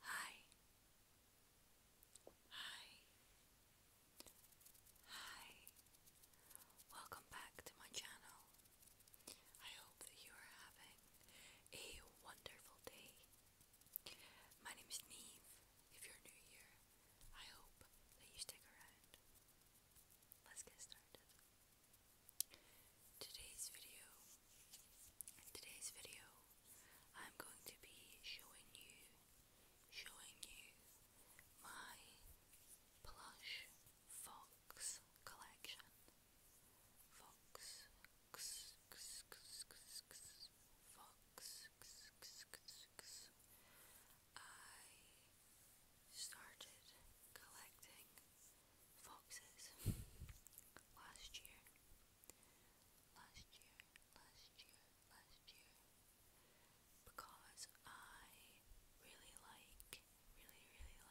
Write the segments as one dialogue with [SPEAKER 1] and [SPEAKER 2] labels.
[SPEAKER 1] Hi. Hi. Hi. Welcome back to my channel. I hope that you are having a wonderful day. My name is Neve. If you're new here, I hope that you stick around. Let's get started. Today's video, today's video, I'm going to be showing you, showing you my plush fox collection. Fox, x, x, x, x, fox, x, x, x, x. I started collecting foxes last year. Last year, last year, last year. Because I really like,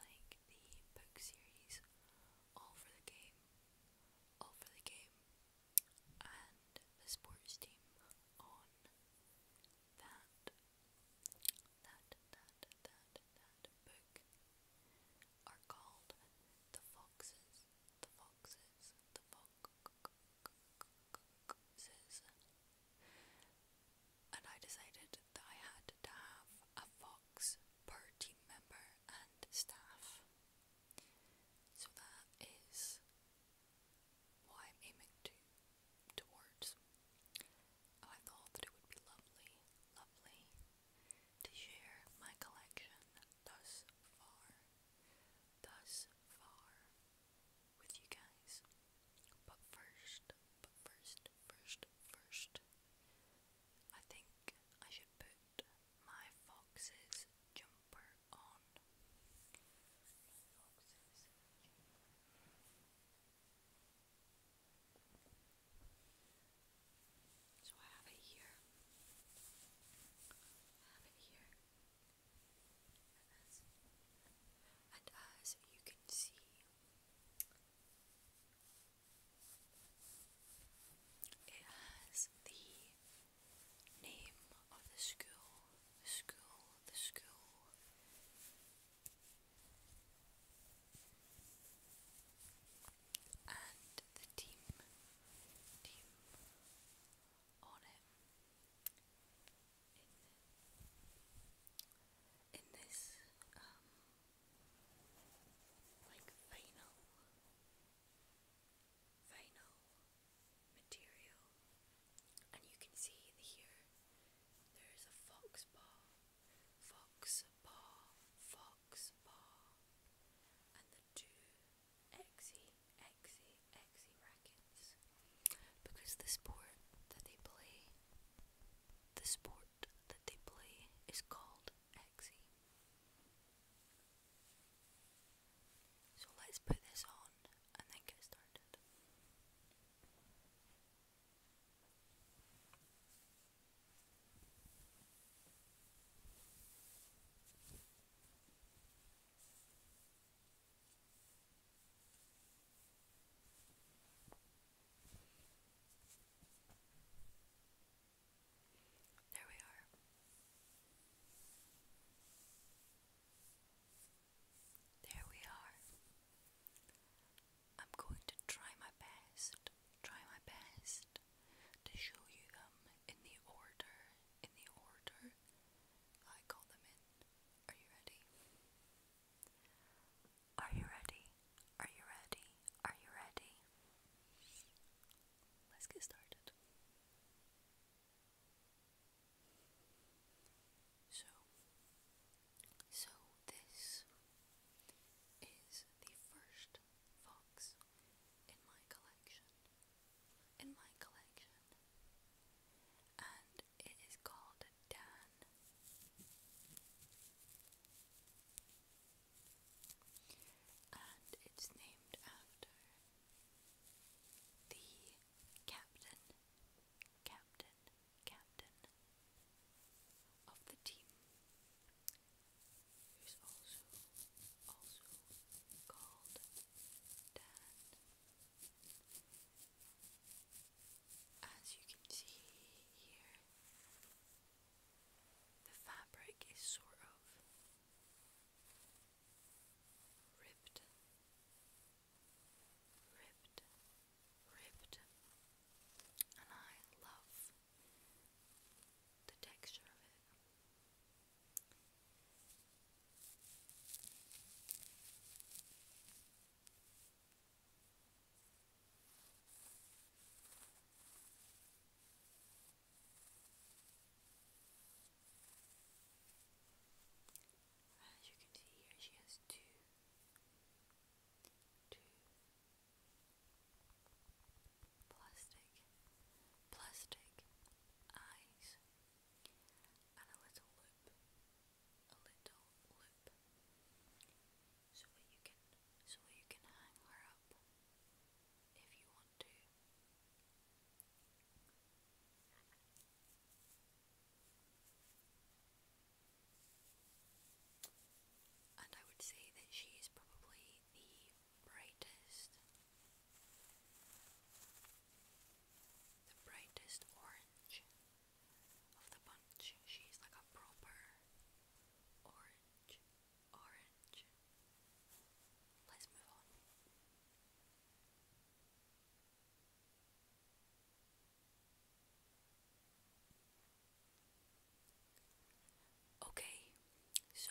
[SPEAKER 1] really, really like the book series All for the Game. All for the Game. And the sports team on that. That, that, that, that, that book are called the foxes, the foxes, the foxes. And I decided that I had to have a fox per team member and staff. So that is what I'm aiming to towards. I thought that it would be lovely, lovely to share my collection thus far, thus far with you guys. But first, but first, first, first, I think I should put my fox's jumper on. So I have it here. I have it here. And as uh, you can see, it has the name of the school, the school, the school and the team team on it in, in this um like vinyl vinyl material and you can see here there is a fox paw fox paw, fox paw, and the two exy, exy, exy rackets. Because the sport that they play, the sport that they play is called exy. So let's put this on and then get started. There we are. There we are. I'm going to try my best, try my best to show you them in the order, in the order I got them in. Are you ready? Are you ready? Are you ready? Are you ready? Let's get started. So, so this is the first fox in my collection. In my collection. And it is called Dan. And it's named after the captain, captain, captain of the team who's also also called Dan. As you can see here, the fabric is sort of ripped, ripped, ripped, and I love the texture of it. As you can see here, she has two, two Plastic, plastic eyes, and a little loop, a little loop, so you can, so you can hang her up if you want to and I would say that she is probably the brightest, the brightest orange of the bunch. She's like a proper orange, orange. Let's move on. Okay, so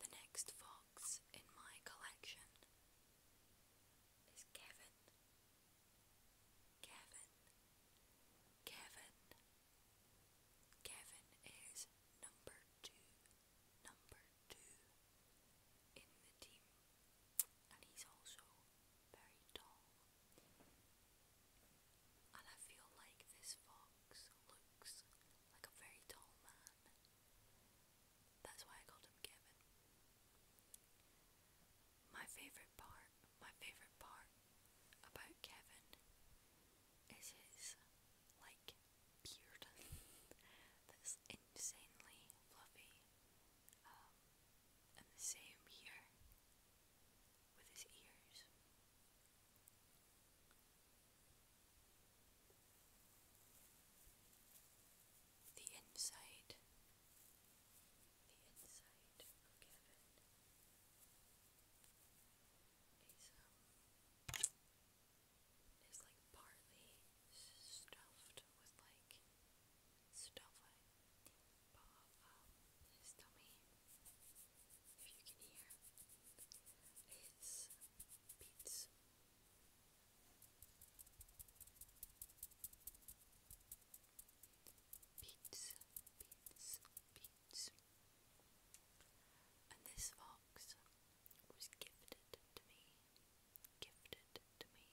[SPEAKER 1] the next fox in my collection is Kevin. Kevin. Kevin. Kevin is number two. Number two in the team. And he's also very tall. And I feel like this fox looks like a very tall man. That's why I called him Kevin. My favorite part, my favorite part about Kevin is his like beard that's insanely fluffy. and um, the same here with his ears. The insight, the insight of Kevin um, like partly stuffed with like stuff like paw his tummy, if you can hear, his beats. Beats, beats, beats. And this fox was gifted to me, gifted to me.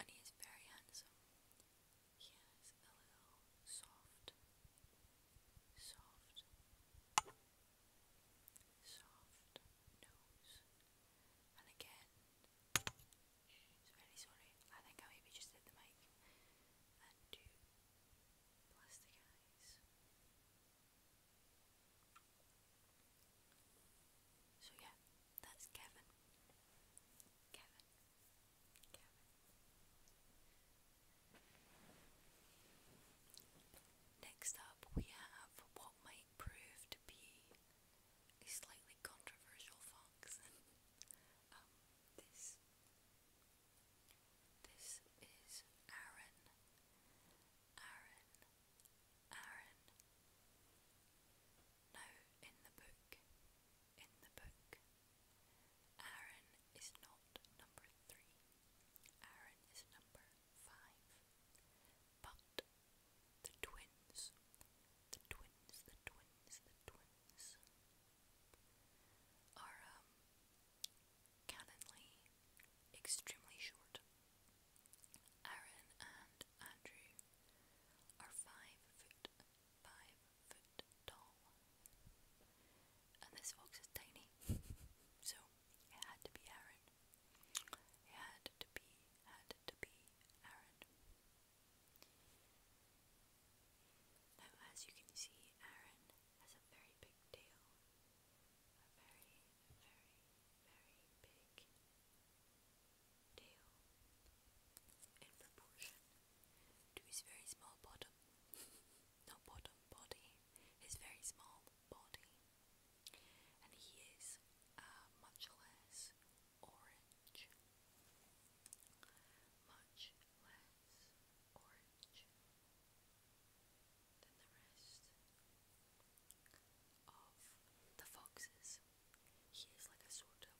[SPEAKER 1] And he is very handsome. He has a little soft, soft, soft nose. And again, it's very sorry. I think I maybe just did the mic and do plastic eyes. So yeah, that's Kevin. Kevin. Kevin. Next up we have what might prove to be a slightly controversial fox. Um, this this is Aaron, Aaron, Aaron. No, in the book, in the book. Aaron is not number three. Aaron is number five. But the twins, the twins, the twins, the twins are um, Cannonly, extremely short. Aaron and Andrew are five foot, five foot tall. And this fox is tiny, so it had to be Aaron. It had to be, had to be Aaron. Now, as you can see, Aaron has a very big tail, big tail in proportion to his very small bottom. Not bottom, body. His very small body. And he is uh, much less orange. Much less orange of the foxes. He is like a sort of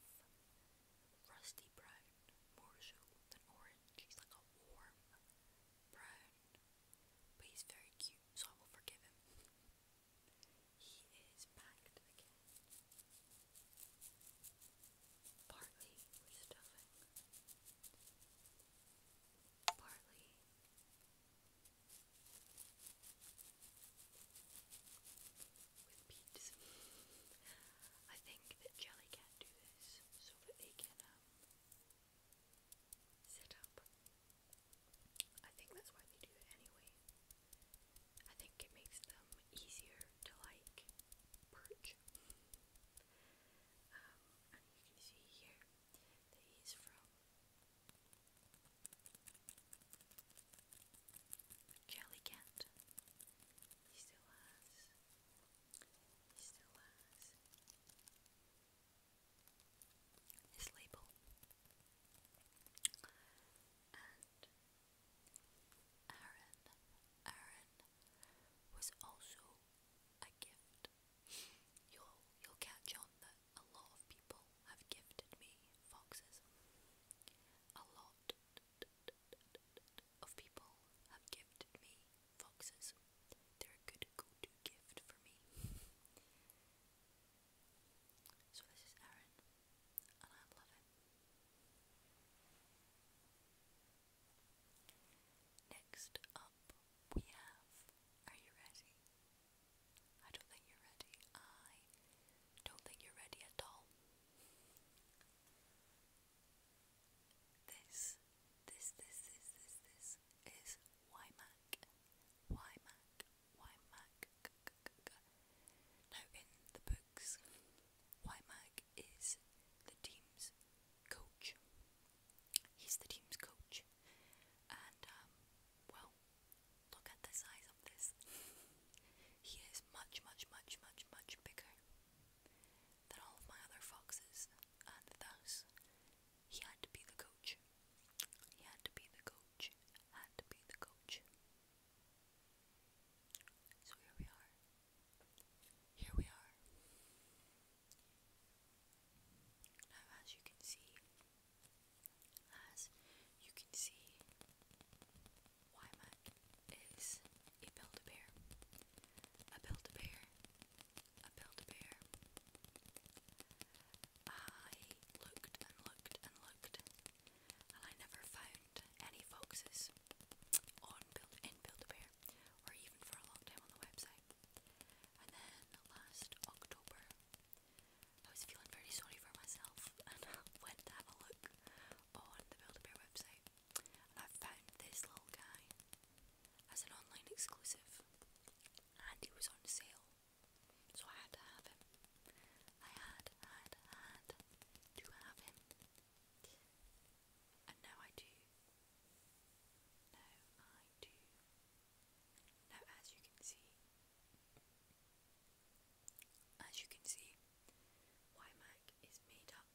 [SPEAKER 1] rusty brown, more so than orange. He's like a warm brown, but he's very cute, so I will forgive him. He is packed again, partly with stuffing barley. With peeps. I think that Jellycat do this so that they can um, sit up. I think that's why they do it anyway. I think it makes them easier to like perch. Um, you can see here that he's from Jellycat. He still has. He still has his label. And Aaron, Aaron was also a gift You'll you'll catch on that a lot of people have gifted me foxes. A lot of people have gifted me foxes. They're a good go-to gift for me. So this is Erin, and I love it. Next up we have. Are you ready? I don't think you're ready. I don't think you're ready at all. This, this, this, this, this, this is YMAC. YMAC. YMAC. Now, in the books, YMAC is the team's coach. He's the team's coach, and um, well, look at the size of this. he is much, much, much, much, much bigger than all of my other foxes, and thus he had to be the coach. He had to be the coach. Had to be the coach. So here we are. Here we are. Now, as you can see, as you can see, Wymack is a Build-A-Bear, a Build-A-Bear, a Build-A-Bear. I looked and looked and looked, and I never found any foxes on build in Build-A-Bear or even for a long time on the website. And then last October, I was feeling very sorry for myself and went to have a look on the Build a Bear website, and I found this little guy as an online exclusive, and he was on sale, so I had to have him. I had, had, had to have him, and now I do. Now I now as you can see as you can see YMAC is made up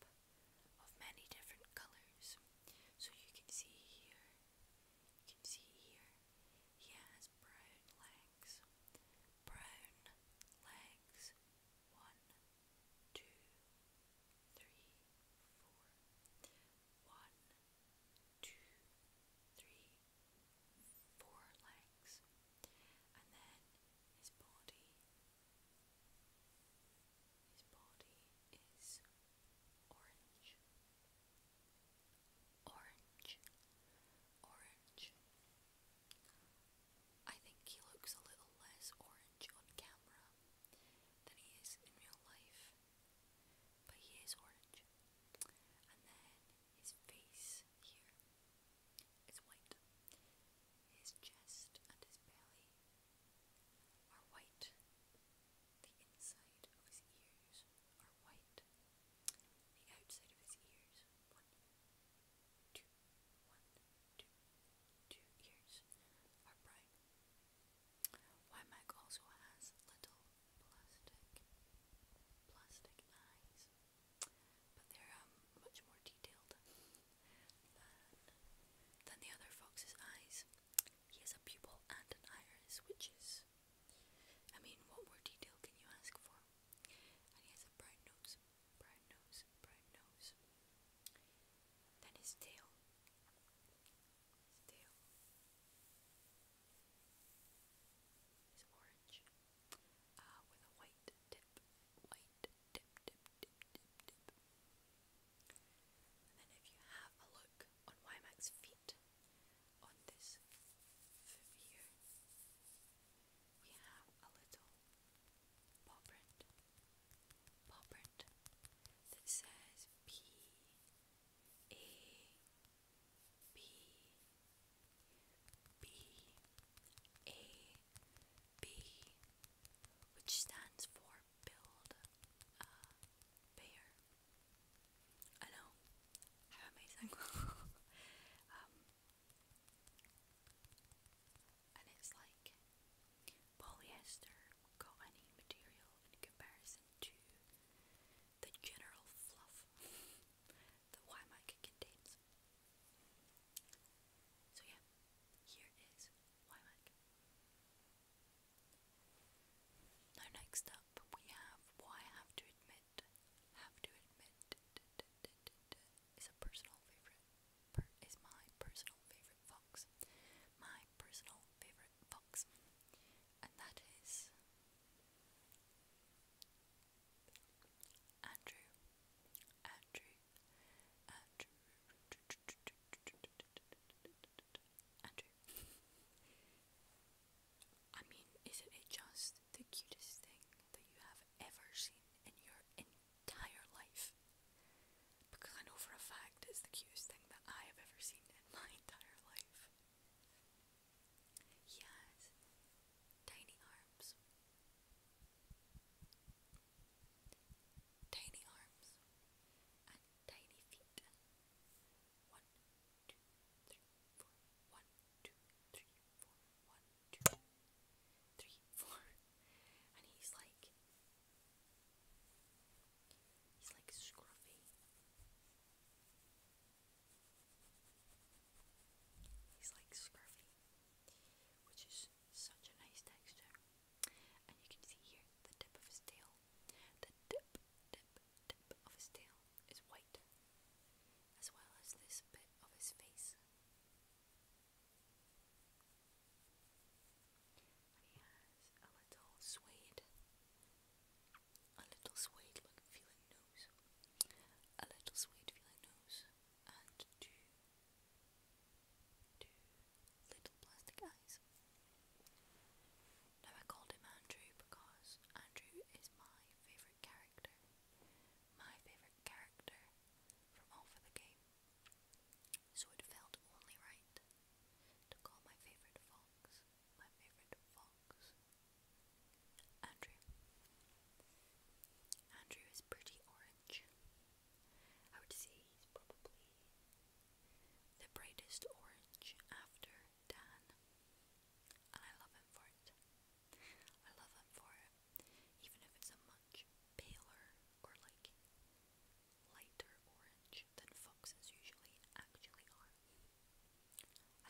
[SPEAKER 1] of many different colours. So you can see here, you can see here, he has brown legs, brown legs, one, two, three, four, one, two, three, four legs, and then his body. His body is orange, orange, orange. I think he looks a little less orange on camera than he is in real life. But he is orange. And then his face here is white. His chest and his belly are white. The inside of his ears are white. The outside of his ears, one, two, one, two, two ears are brown. Wymack also has little plastic plastic eyes, but they're um, much more detailed than, the other fox's eyes. He has a pupil and an iris, which is, I mean, what more detail can you ask for? And he has a brown nose, brown nose, brown nose. Then his tail. His tail is orange uh, with a white tip, white tip, tip, tip, tip, tip. And then if you have a look on Wyman's feet, on this here, we have a little paw print, paw print that says P a B B A B which stands for build a bear. I know. How amazing. Um, and it's like polyester cottony material in comparison to the general fluff that YMAC contains. So yeah, here is YMAC. Now next up we have Why I Have to Admit, Have to Admit is a personal favourite, is my personal favourite Fox. My personal favourite favourite box, and that is Andrew, Andrew, Andrew. I mean, isn't it just the cutest thing that you have ever seen in your entire life? because I know for a fact it's the cutest thing that I have ever seen in my entire life. He tiny arms. Tiny arms and tiny feet. One, two, three, four. One, two, three, four. One, two, three, four. And he's like He's like scruffy. He's like scruffy, which is such a nice texture. And you can see here the tip of his tail. The tip, tip, tip of his tail is white, as well as this bit of his face. He has a little suede, a little suede feeling nose, a little suede feeling nose, and two, two little plastic eyes. Now I called him Andrew because Andrew is my favourite character, my favourite character from All for the Game so it felt only right to call my favorite fox my favorite fox. Andrew. Andrew is pretty orange. I would say he's probably the brightest orange after Dan. And I love him for it. I love him for it. Even if it's a much paler or like lighter orange than foxes usually actually are.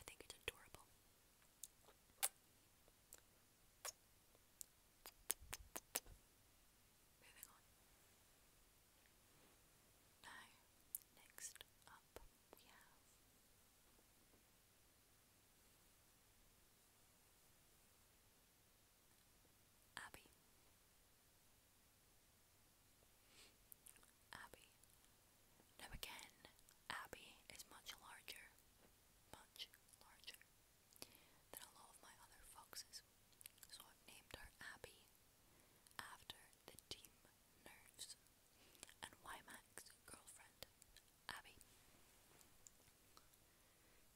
[SPEAKER 1] I think it's adorable. Moving on. Now, next up we have. Abby. Abbey. Now again, Abbey is much larger, much larger than a lot of my other foxes, so i named her Abbey after the team Nerves and Wyman's girlfriend, Abby.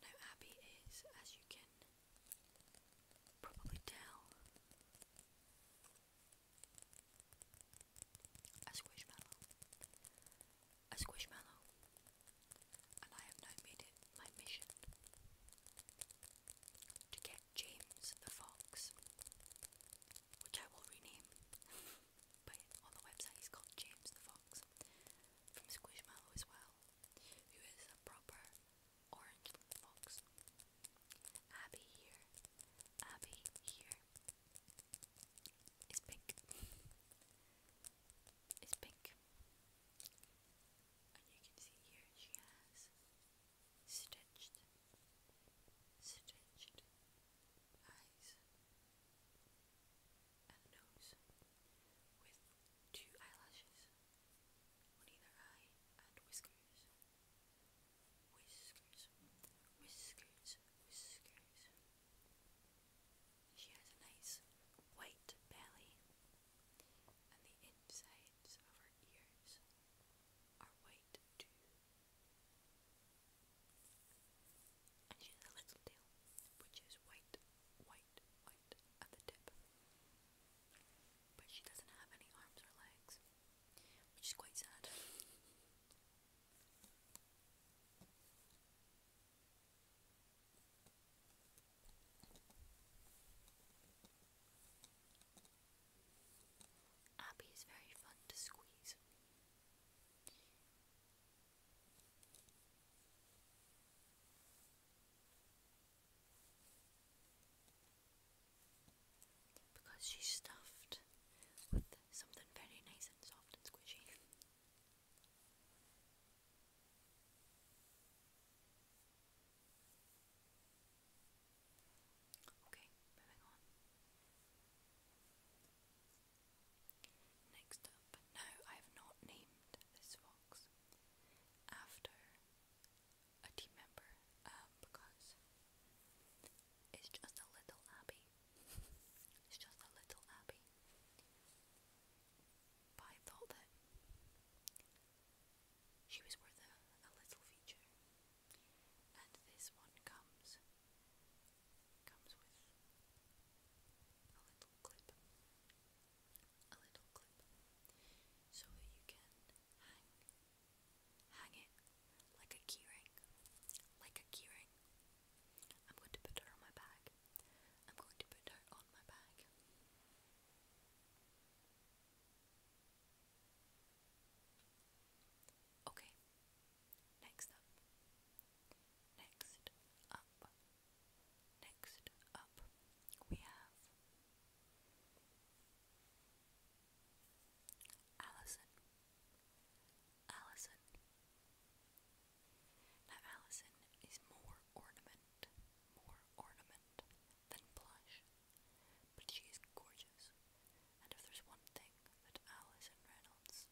[SPEAKER 1] Now, Abby is, as you can probably tell a squishmallow, a squishmallow, and I have now made it my mission to get James the Fox, which I will rename. but on the website, he's called James the Fox from Squishmallow as well, who is a proper orange fox. Abby here, Abby here is pink. It's pink. And you can see here she has stitched, stitched eyes and nose with two eyelashes whiskers. Whiskers, whiskers, whiskers. She has a nice white belly, and the insides of her ears are white too. And she has a little tail, which is white, white, white at the tip but she doesn't have any arms or legs, which is quite sad. Abby is very fun to squeeze because she's stuffed with something very nice and soft and squishy. Okay, moving on. Next up, now I have not named this fox after a team member um, because it's just a little abbey. it's just a little abbey. But I thought that she was worth a, little feature, and this one comes comes with a little clip, a little clip, so you can hang Hang it like a keyring. Like a keyring. I'm going to put her on my bag. I'm going to put her on my bag. Okay. Next up. Next up. Next up, we have Alison. Allison. Now, Allison is more ornament, more ornament than blush, but she is gorgeous. And if there's one thing that Allison Reynolds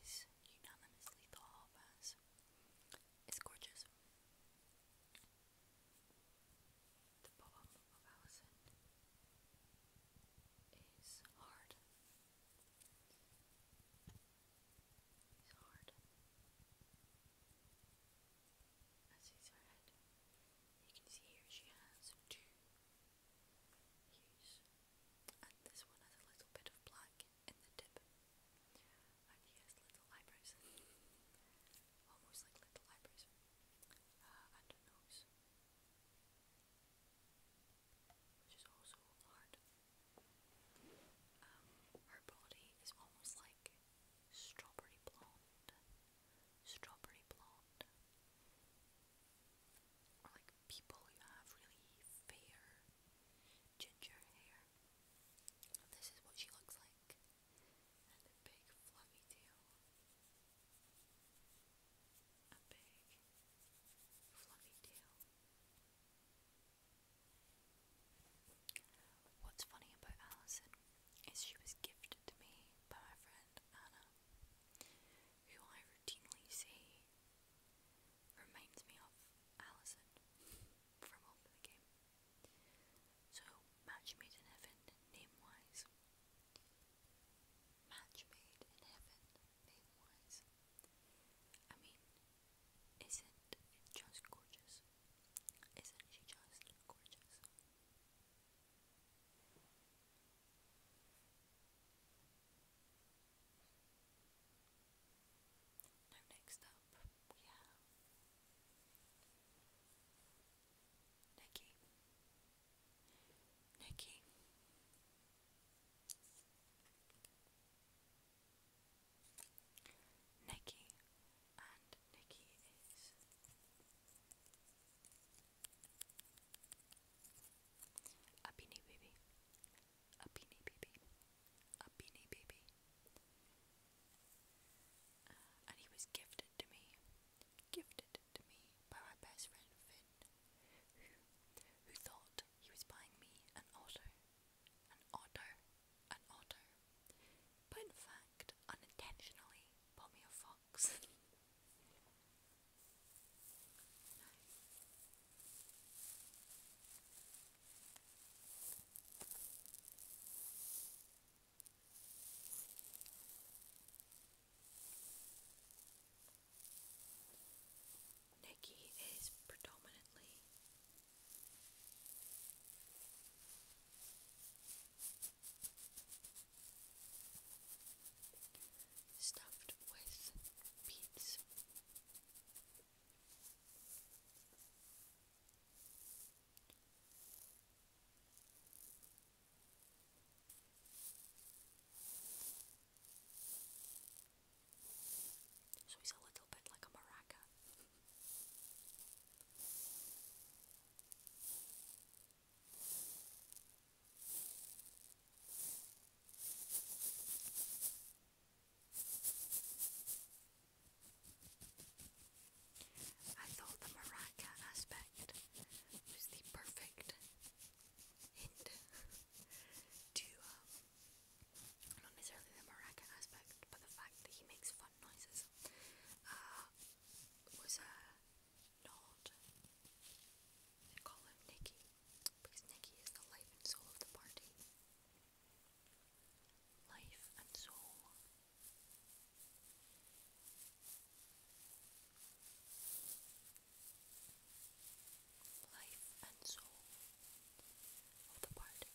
[SPEAKER 1] is unanimously thought as, it's gorgeous. The poem of Alison is hard. It's hard. As is her head. You can see here she has two hues. And this one has a little bit of black in the tip. And he little eyebrows almost like little libraries, uh, nose, which is also hard. Um, her body is almost like strawberry blonde, strawberry blonde, or like people who have really fair ginger hair. This is what she looks like and a big fluffy tail. A big fluffy tail. What's funny about Allison is she was gifted to me by my friend Anna, who I routinely say reminds me of Allison from Open the Game. So, match made in heaven, name wise. Match made in heaven, name wise. I mean, isn't it just gorgeous? Isn't she just gorgeous? Now, next up, we have Nikki, Nikki. Nikki and Nikki is a beanie baby, a beanie baby, a beanie baby, and he was gifted to me, gifted to me by my best friend Finn, who, who thought he was buying me an auto, an auto, an auto, but in fact, unintentionally, bought me a fox. Nikki is predominantly stuffed with beads. So he's a little bit like a maraca. I thought the maraca aspect was the perfect hint to, um, not necessarily the maraca aspect, but the fact that he makes fun noises uh, was a uh, nod. They call him Nicky because Nicky is the life and soul of the party. Life and soul Life and soul of the party.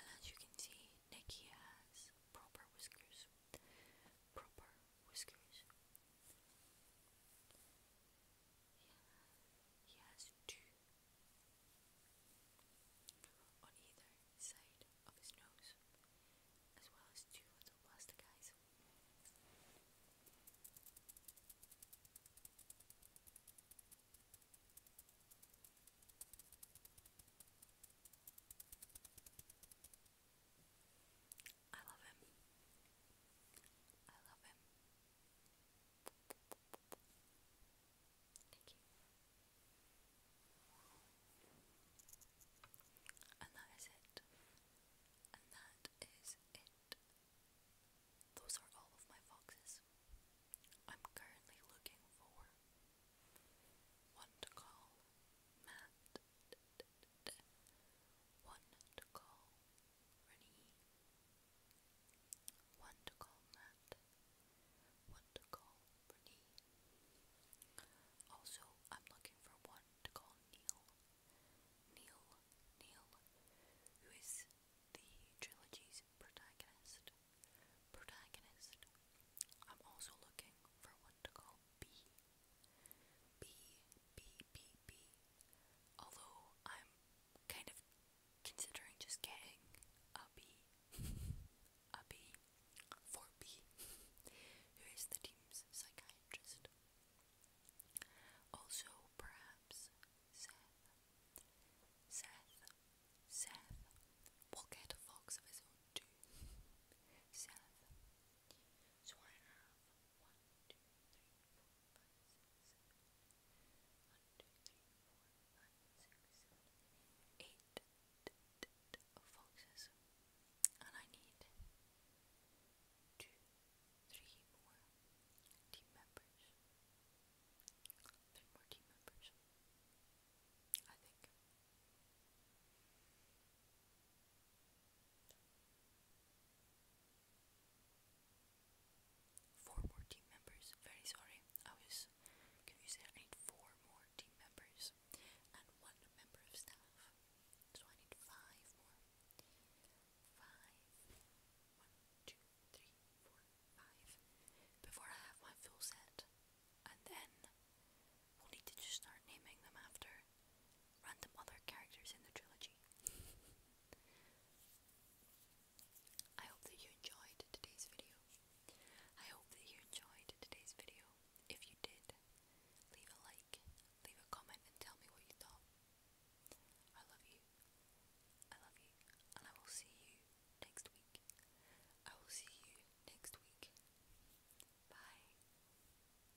[SPEAKER 1] And as you can see, Nikki has proper whiskers. Proper whiskers. He has two on either side of his nose, as well as two little plastic eyes. I love him. I love him. Thank you. And that is it. And that is it. Those are all of my foxes. I'm currently looking for one to call Matt, Wonderful Rennie, Wonderful Matt, Wonderful Rennie. Also, I'm looking for one to call Neil, Neil, Neil, who is the trilogy's protagonist. Protagonist. I'm also looking for one to call B. B, B, B, B. Although I'm kind of considering just getting a B. a B. For B. Who is the team's psychiatrist? Also, perhaps Seth. Seth. Seth will get a fox of his own too. Seth. So one, two, three, four, five, six, seven. One, two, three, four, five, six, seven, eight And I need two, three more team members. Three more team members. I think. Four more team members. Very sorry. I was confused. I need four more team members and one member of staff. So I need five more. Five. One, two, three, four, five. Before I have my full set. And then we'll need to just start naming them after random other characters in the trilogy. I hope that you enjoyed today's video. I hope that you enjoyed today's video. If you did, leave a like, leave a comment, and tell me what you thought. I love you. I love you. And I will see you next week. I will see you next week. Bye.